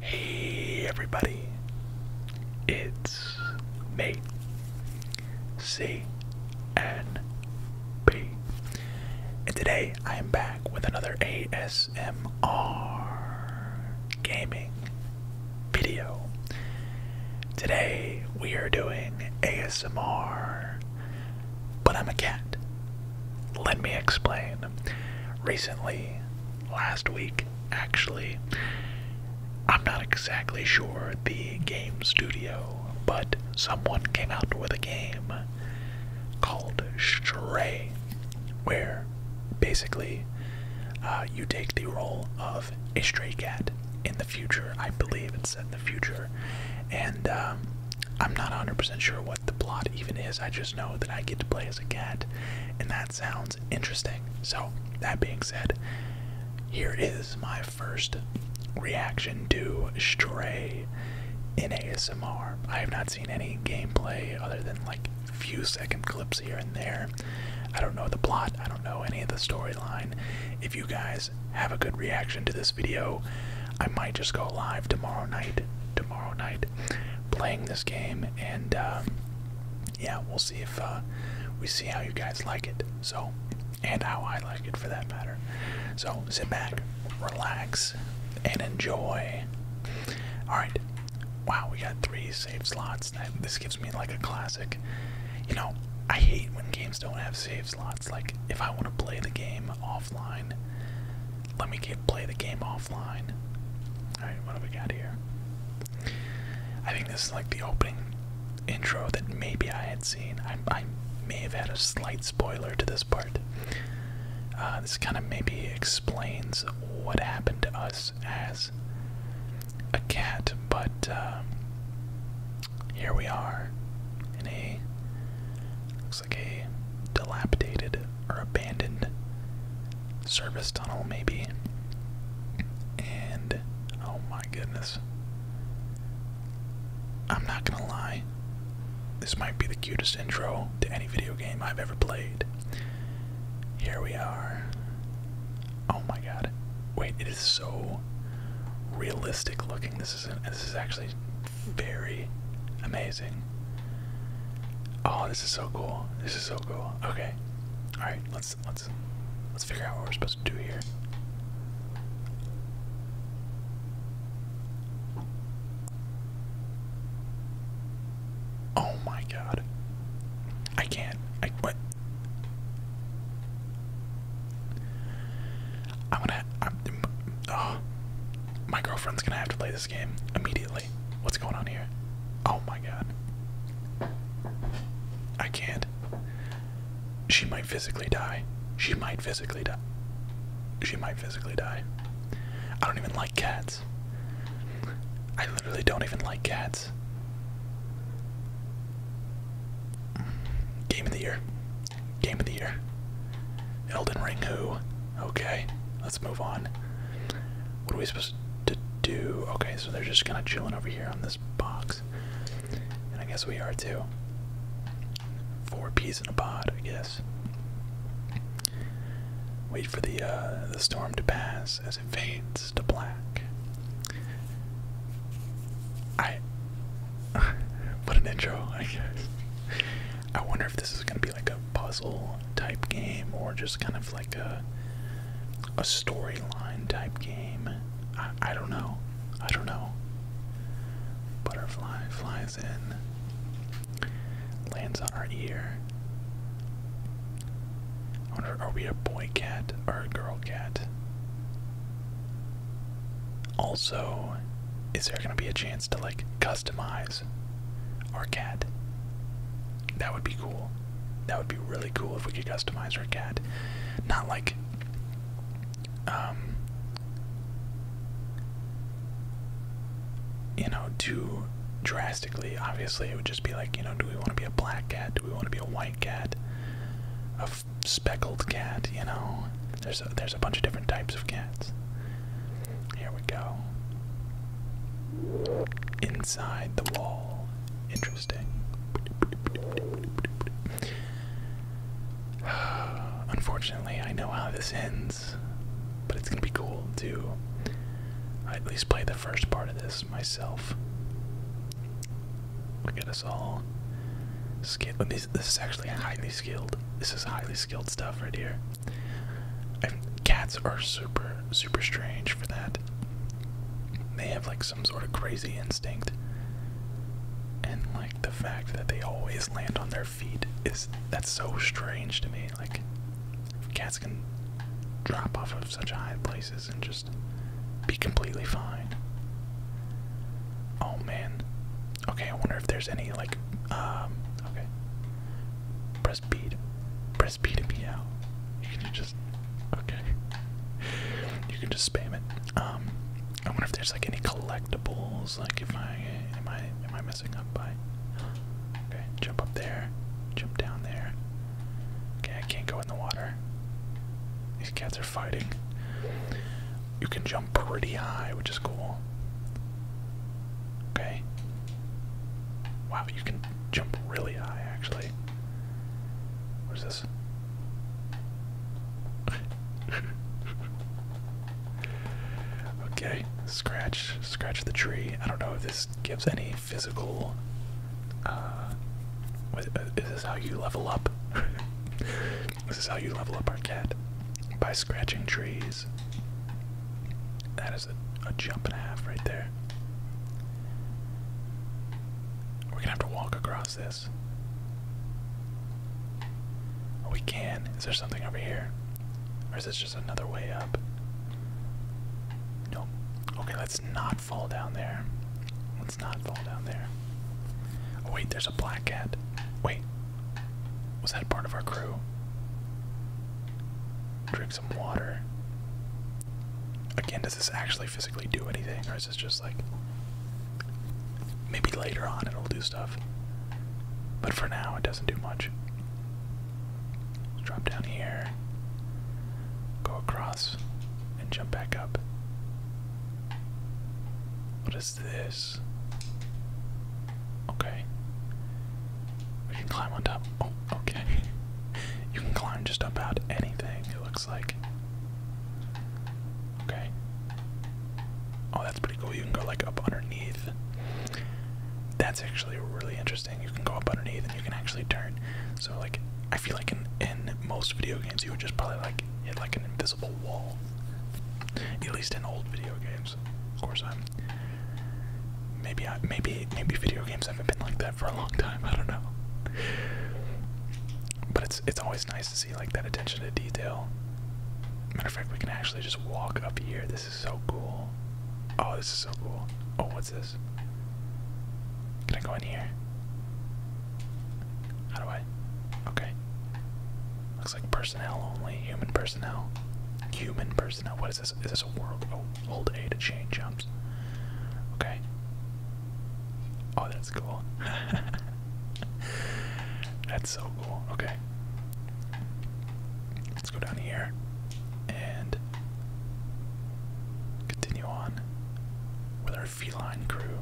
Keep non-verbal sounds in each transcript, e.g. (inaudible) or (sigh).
Hey everybody, it's me, C N P, and today I am back with another ASMR gaming video. Today we are doing ASMR, but I'm a cat, let me explain. Recently, last week actually, I'm not exactly sure the game studio, but someone came out with a game called Stray, where basically uh, you take the role of a stray cat in the future. I believe it's in the future. And um, I'm not 100% sure what the plot even is. I just know that I get to play as a cat, and that sounds interesting. So, that being said, here is my first reaction to Stray in ASMR. I have not seen any gameplay other than like few second clips here and there. I don't know the plot, I don't know any of the storyline. If you guys have a good reaction to this video, I might just go live tomorrow night. Tomorrow night, playing this game, and um, yeah, we'll see if uh, we see how you guys like it. So, and how I like it for that matter. So sit back, relax, and enjoy. All right. Wow, we got three save slots. this gives me like a classic. You know, I hate when games don't have save slots. Like, if I want to play the game off offline. Let me play the game offline. Alright, what do we got here? I think this is like the opening intro that maybe I had seen. I, may have had a slight spoiler to this part. Uh, this kind of maybe explains what happened to us as a cat, but uh, here we are in a like a dilapidated or abandoned service tunnel, maybe. And oh my goodness. I'm not gonna lie, this might be the cutest intro to any video game I've ever played. Here we are. Oh my god. Wait, it is so realistic looking. This is this is actually very amazing. Oh, this is so cool. This is so cool. Okay. Alright, let's let's let's figure out what we're supposed to do here. Oh my god. I can't. I what I'm gonna I'm, oh, my girlfriend's gonna have to play this game immediately. What's going on here? Oh my god. I can't. She might physically die. She might physically die. She might physically die. I don't even like cats. I literally don't even like cats. Game of the year. Game of the year. Elden Ring who? Okay let's move on. What are we supposed to do? Okay, so they're just kind of chilling over here on this box. And I guess we are too. Four peas in a pod, I guess. Wait for the uh, the storm to pass as it fades to black. I (laughs) what an intro, I guess. I wonder if this is gonna be like a puzzle type game or just kind of like a a storyline type game. I, I don't know. I don't know. Butterfly flies in, lands on our ear. wonder, are we a boy cat or a girl cat? Also, is there gonna be a chance to like customize dogs cat. That would be cool. That would be really cool if we could customize our cat. Not like um you know, too drastically. Obviously, it would just be like, you know, do we want to be a black cat? Do we want to be a white cat? A speckled cat, you know? There's a, there's a bunch of different types of cats. Here we go. Inside the wall. Interesting. (sighs) Unfortunately, I know how this ends, but it's gonna be cool to at least play the first part of this myself. Look at us all. this is actually highly skilled. This is highly skilled stuff right here cats are super, super strange for that. They have like some sort of crazy instinct. And like the fact that they always land on their feet is that's so strange to me. Like cats can drop off of such high places and just be completely fine. Oh man. Okay, I wonder if there's any like um okay. Press B press B to be out. You can just okay. You can just spam it. Um I wonder if there's like any collectibles, like if I am I am I messing up by Okay, jump up there, jump down there. Okay, I can't go in the water. These cats are fighting you can jump pretty high, which is cool. Okay. Wow, you can jump really high, actually. What is this? (laughs) okay, scratch, scratch the tree. I don't know if this gives any physical. Uh, what, uh, is this how you level up? (laughs) this is how you level up our cat by scratching trees. That is a, jump and a half right there. We're gonna have to walk across this. Oh, we can. Is there something over here? Or is this just another way up? Nope. Okay, let's not fall down there. Let's not fall down there. Oh, wait, there's a black cat. Wait, was that part of our crew? Drink some water. Again, does this actually physically do anything, or is this just like. Maybe later on it'll do stuff. But for now, it doesn't do much. drop down here, go across, and jump back up. What is this? Okay. We can climb on top. Oh, okay. (laughs) you can climb just about anything, it looks like. Okay. Oh, that's pretty cool. You can go like up underneath. That's actually really interesting. You can go up underneath and you can actually turn. So like I feel like in in most video games you would just probably like hit like an invisible wall. At least in old video games. Of course I'm. Maybe maybe maybe video games haven't been like that for a long time. I don't know. But it's it's always nice to see like that attention to detail. Matter of fact, we can actually just walk up here. This is so cool. Oh, this is so cool. Oh, what's this? Can I go in here? How do I? Okay looks like personnel only, human personnel. Human personnel. What is this? Is this a world? old hold A to chain jumps. Okay. Oh, that's cool. (laughs) that's so cool. Okay. Let's go down here and continue on with our feline crew.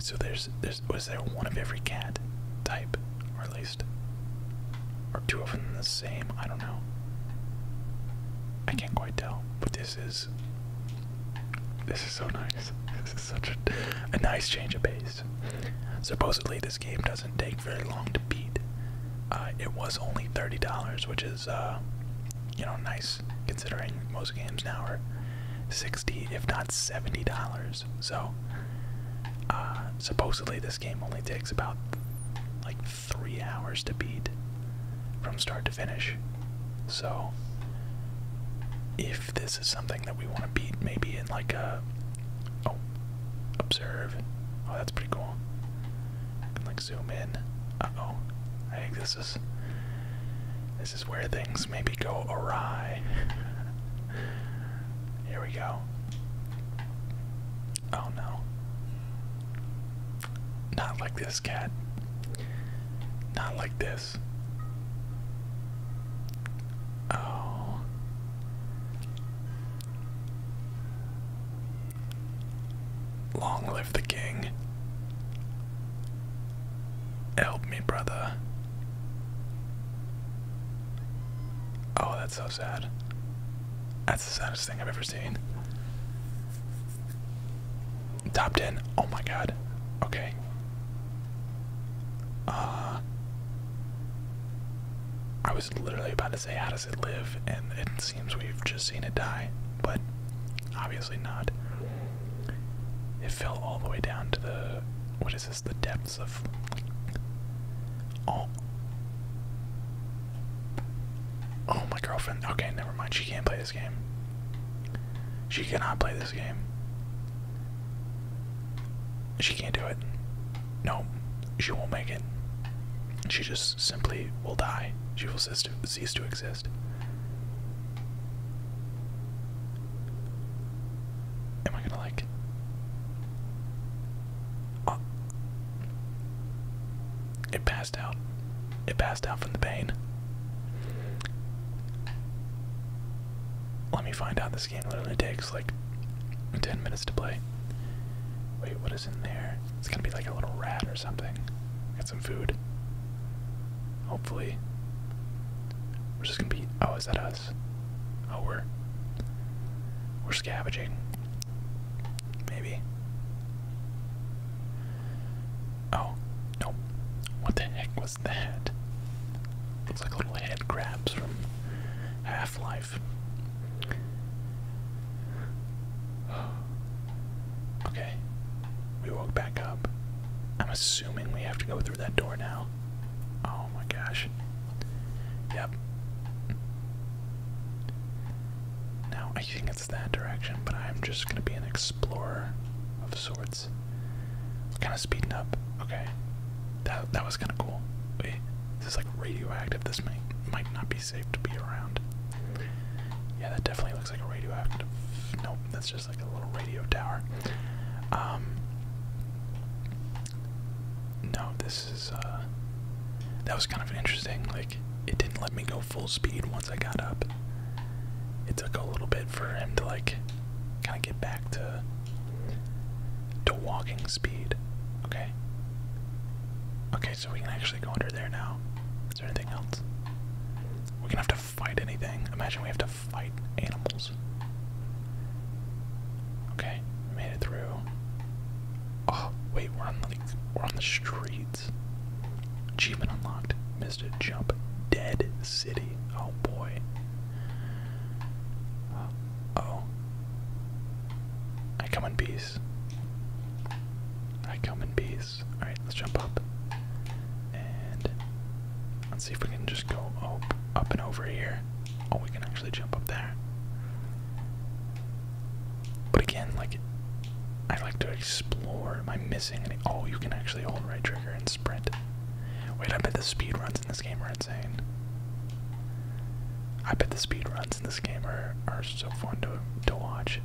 so there's there's, was there one of every cat type, or at least, or two of them the same? I don't know. I can't quite tell, but this is this is so nice. This is such a, a nice change of pace. Supposedly, this game doesn't take very long to beat. Uh, it was only thirty dollars, which is uh, you know nice considering most games now are sixty, if not seventy dollars. So, uh, supposedly this game only takes about like three hours to beat from start to finish. So, if this is something that we want to beat, maybe in like a oh, observe. Oh, that's pretty cool. I can like zoom in. Uh oh, I think this is this is where things maybe go awry. Here we go. Oh no. Not like this, cat. Not like this. Oh. Long live the king. Help me, brother. Oh, that's so sad. That's the saddest thing I've ever seen. Top 10. Oh my god. Okay. Uh I was literally about to say how does it live and it seems we've just seen it die, but obviously not. It fell all the way down to the what is this, the depth of oh oh my girlfriend okay never mind she can't play this game she cannot play this game she can't do it no she won't make it she just simply will die she will cease to, cease to exist Am I gonna like? Uh, it passed out. It passed out from the pain. Let me find out. This game literally takes like 10 minutes to play. Wait, what is in there? It's gonna be like a little rat or something. Get some food. Hopefully. We're just gonna be. Oh, is that us? Oh, we're we're scavenging. Maybe. Oh no! What the heck was that? Looks like little head crabs from Half Life. (sighs) Okay, we woke back up assuming we have to go through that door now. Oh my gosh. Yep. Now I think it's that direction, but I'm just gonna be an explorer of sorts. Kind of speeding up. Okay, that that was kind of cool. Wait, this is like radioactive. This might might not be safe to be around. Yeah, that definitely looks like a radioactive. Nope, that's just like a little radio tower. Um, no, this is uh, that was kind of interesting. Like it didn't let me go full speed once I got up. It took a little bit for him to like kind of get back to to walking speed. Okay. Okay, so we can actually go under there now. Is there anything else? We're gonna have to fight anything. Imagine we have to fight animals. Okay, made it through. Oh, wait, we're on the we're on the streets. Achievement unlocked. Missed a jump. Dead city. Oh boy. Uh, oh. I come in peace. I come in peace. Alright, let's jump up. And Let's see if we can just go up and over here. Oh, we can actually jump up there. But again, like, I like to explore. Am I missing any? Oh, you can actually hold right trigger and sprint. Wait, I bet the speed runs in this game are insane. I bet the speed runs in this game are, are so fun to, to watch.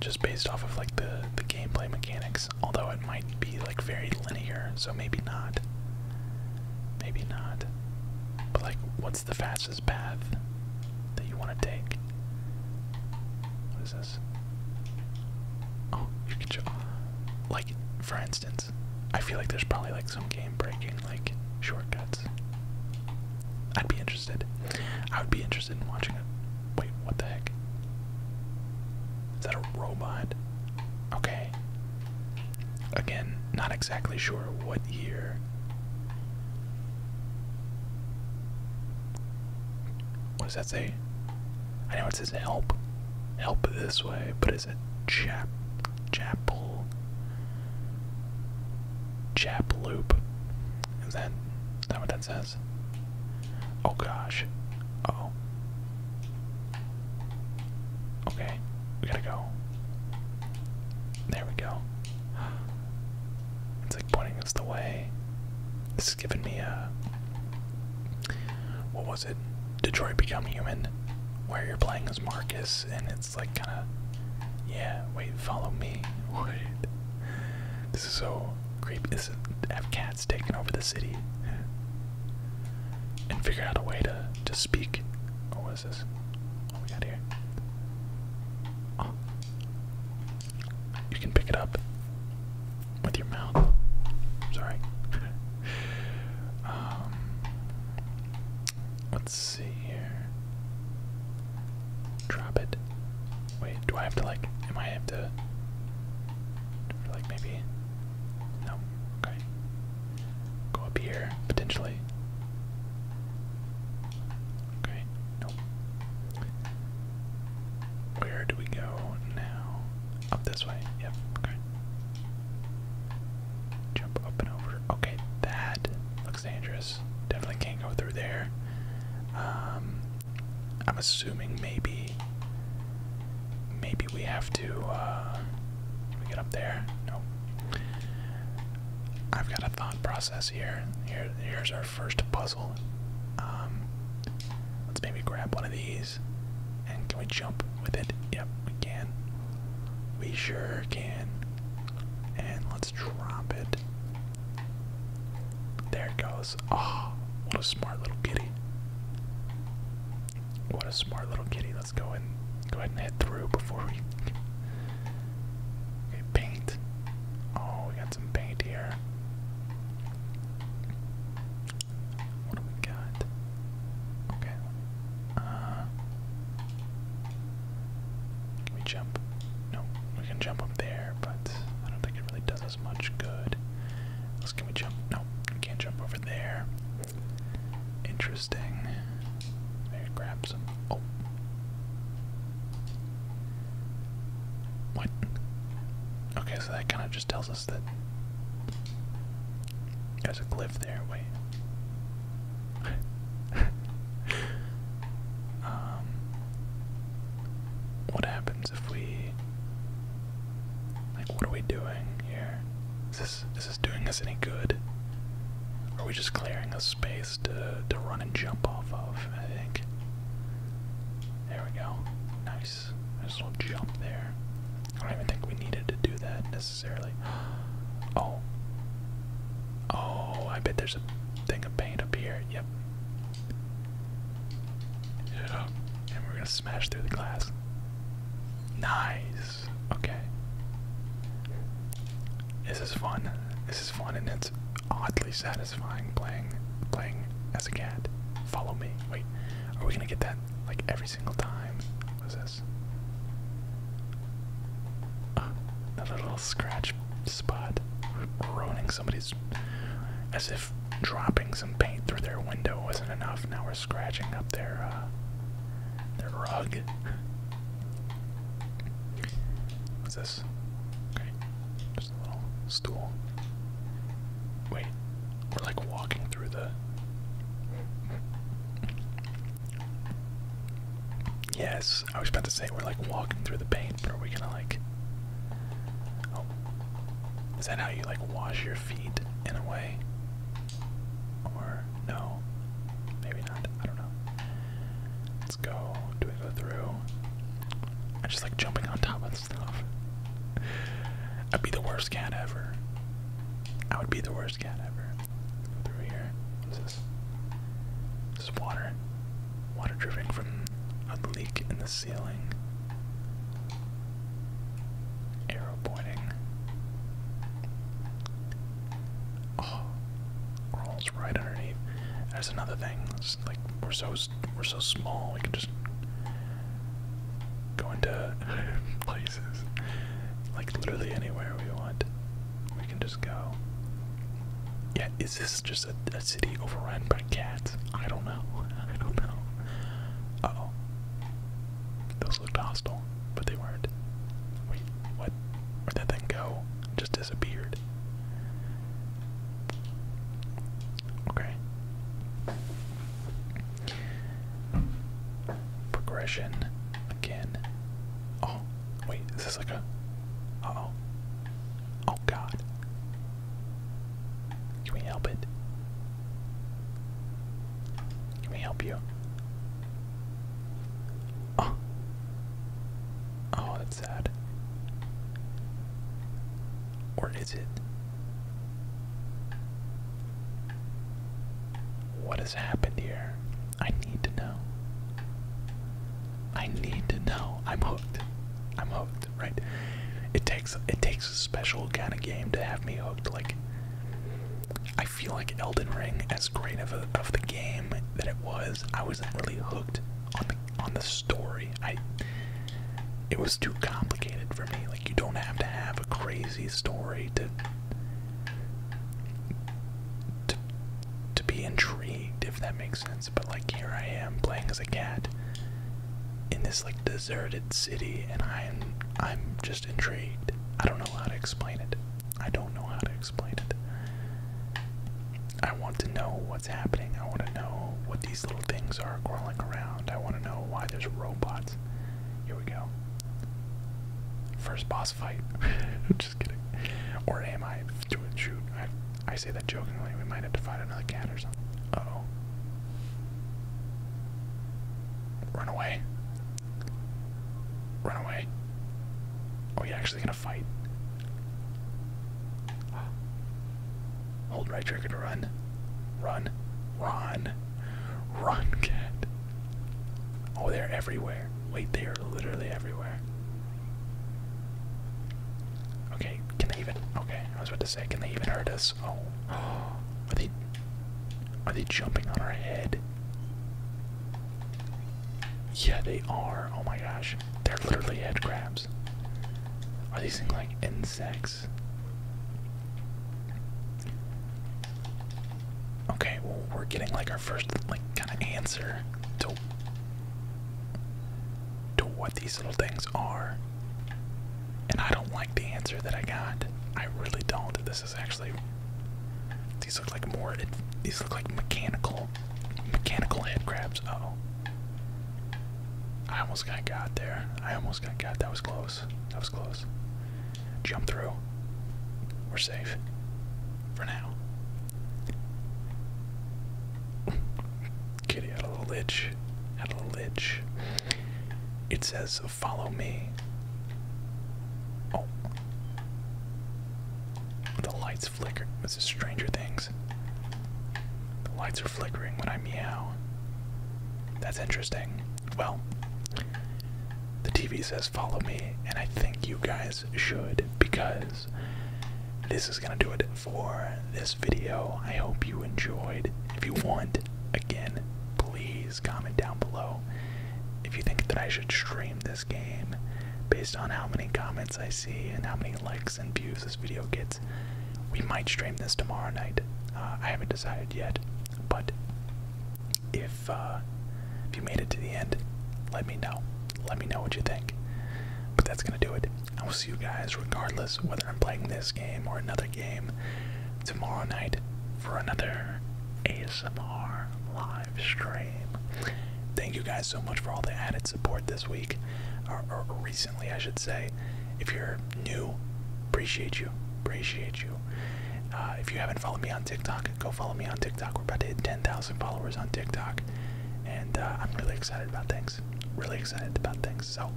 Just based off of like the, the gameplay mechanics although it might be like very linear, so maybe not. Maybe not. But like, what's the fastest path that you want to take? What is this? Oh, you can show. Like, for instance, I feel like there's probably like some game breaking, like, shortcuts. I'd be interested. I would be interested interested watching it. Wait, what the heck? Is that a robot? Okay. Again, not exactly sure what year. What does that say? I know it says help. Help this way, but is it chap chapel? Chap loop. Is that is that what that says. Oh gosh. oh. Okay, we gotta go. There we go. It's like pointing us the way. This is giving me a. What was it? Detroit Become Human, where you're playing as Marcus, and it's like kind of. Yeah, wait, follow me. (laughs) Wait. This is so creepy have cats taking over the city and figure out a way to to speak. Oh, what is this? What we got here? Oh. You can pick it up with your mouth. Sorry. (laughs) um, let's see here. Drop it. Wait, do I have to like? Am I have to? Like maybe? No. Okay. Go up here potentially. Okay. Nope. Where do we go now? Up this way. Yep. Okay. Jump up and over. Okay, that looks dangerous. Definitely can't go through there. Um, I'm assuming maybe maybe we have to uh get up there? No. I've got a thought process here. Here here's our first puzzle. Um, let's maybe grab one of these and can we jump with it? Yep, we can. We sure can. And let's drop it. There it goes. Oh, what a smart little kitty. What a smart little kitty. Let's go and go ahead and head through before we paint. Oh, we got some paint here. What do we got? Okay. Uh, can we jump? No, we can jump up there, but I don't think it really does does as much good. Let's can we jump? No, we can't jump over there. Interesting. Maybe grab some. Oh. What? Okay, so that kind of just tells us that there's a cliff there. Wait. (laughs) um. What happens if we like what are we doing here? Is this is this doing us any good? are we just clearing a space to to run and jump off of, I think. There we go. Nice. There's a little jump there. I don't even think we needed to do that necessarily. (gasps) Oh. Oh, I bet there's a thing of paint up here. Yep, Hit up, and we're gonna smash through the glass. Nice. Okay. This is fun. This is fun, and it's oddly satisfying playing playing as a cat. Follow me. Wait, are we gonna get that like every single time? What is this? Uh, another little scratch spot. Ruining somebody's. As if dropping some paint through their window wasn't enough. Now we're scratching up their, uh, their rug. What's this? Just a little stool. Wait. We're like walking through the. Yes, I was about to say we're like walking through the paint are we gonna like? Oh, is that how you like wash your feet in a way? Or no, maybe not. I don't know. Let's go. Do we go through? I just like jumping on top of stuff. I'd be the worst cat ever. I would be the worst cat ever. through here. What's this? There's water. Water dripping from a leak in the ceiling. Arrow pointing. Oh, rolls right underneath. That's another thing. like we're so we're so small, we can just go into (laughs) places, like literally anywhere we want. We can just go. Yeah, is this just a, city overrun by cats? I don't know. I don't know. oh. Those looked hostile, but they weren't. Wait, what? Where'd that thing go? just disappeared. Okay. Progression again. Oh, wait, is this like a. oh. Oh god. Can we help it? Can we help you? Oh. Oh, that's sad. Or is it? What has happened here? I need to know. I need to know. I'm hooked. I'm hooked right? It takes it takes a special kind of game to have me hooked. Like I feel like Elden Ring, as great of a, of the game that it was, I wasn't really hooked on the on the story. I it was too complicated for me. Like you don't have to have a crazy story to to to be intrigued, if that makes sense but like here I am playing as a cat in this like deserted city and I'm I'm just intrigued. I don't know how to explain it. I don't know how to explain it. I want to know what's happening. I want to know what these little things are crawling around. I want to know why there's robots. Here we go. First boss fight. (laughs) Just kidding. Or am I? Do it. Shoot. I say that jokingly. We might have to fight another cat or something. oh. Run away. Run away. Oh, you actually gonna fight. Hold right trigger run. Run. Run. Run, cat. Oh, they're everywhere. Wait, they are literally everywhere. Okay, can they even? Okay, I was about to say, can they even hurt us? Oh, (gasps) are they? Are they jumping on our head? Yeah, they are. Oh my gosh, they're literally head crabs. Are these things like insects? Okay, well, we're getting like our first like kind of answer to to what these little things are. And I don't like the answer that I got. I really don't. This is actually these look like more these look like mechanical mechanical head oh. I almost got got there. I almost got got that was close. That was close. Jump through. We're safe. For now. Kitty had a little itch. Had a little itch. It says, follow me. Oh. The lights flicker. This is Stranger Things. The lights are flickering when I meow. That's interesting. Well, the TV says follow me, and I think you guys should because this is going to do it for this video. I hope you enjoyed. If you want, again, please comment down below if you think that I should stream this game based on how many comments I see and how many likes and views this video gets. We might stream this tomorrow night. Uh, I haven't decided yet, but if uh, if you made it to the end, let me know let me know what you think. But that's going to do it. I will see you guys regardless whether I'm playing this game or another game tomorrow night for another ASMR live stream. Thank you guys so much for all the added support this week, or, recently, I should say. If you're new, appreciate you. Appreciate you. Uh, if you haven't followed me on TikTok, go follow me on TikTok. We're about to hit 10,000 thousand followers on TikTok, and uh, I'm really excited about things. Really excited about things. So,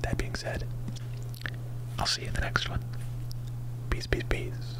that being said, I'll see you in the next one. Peace, peace, peace.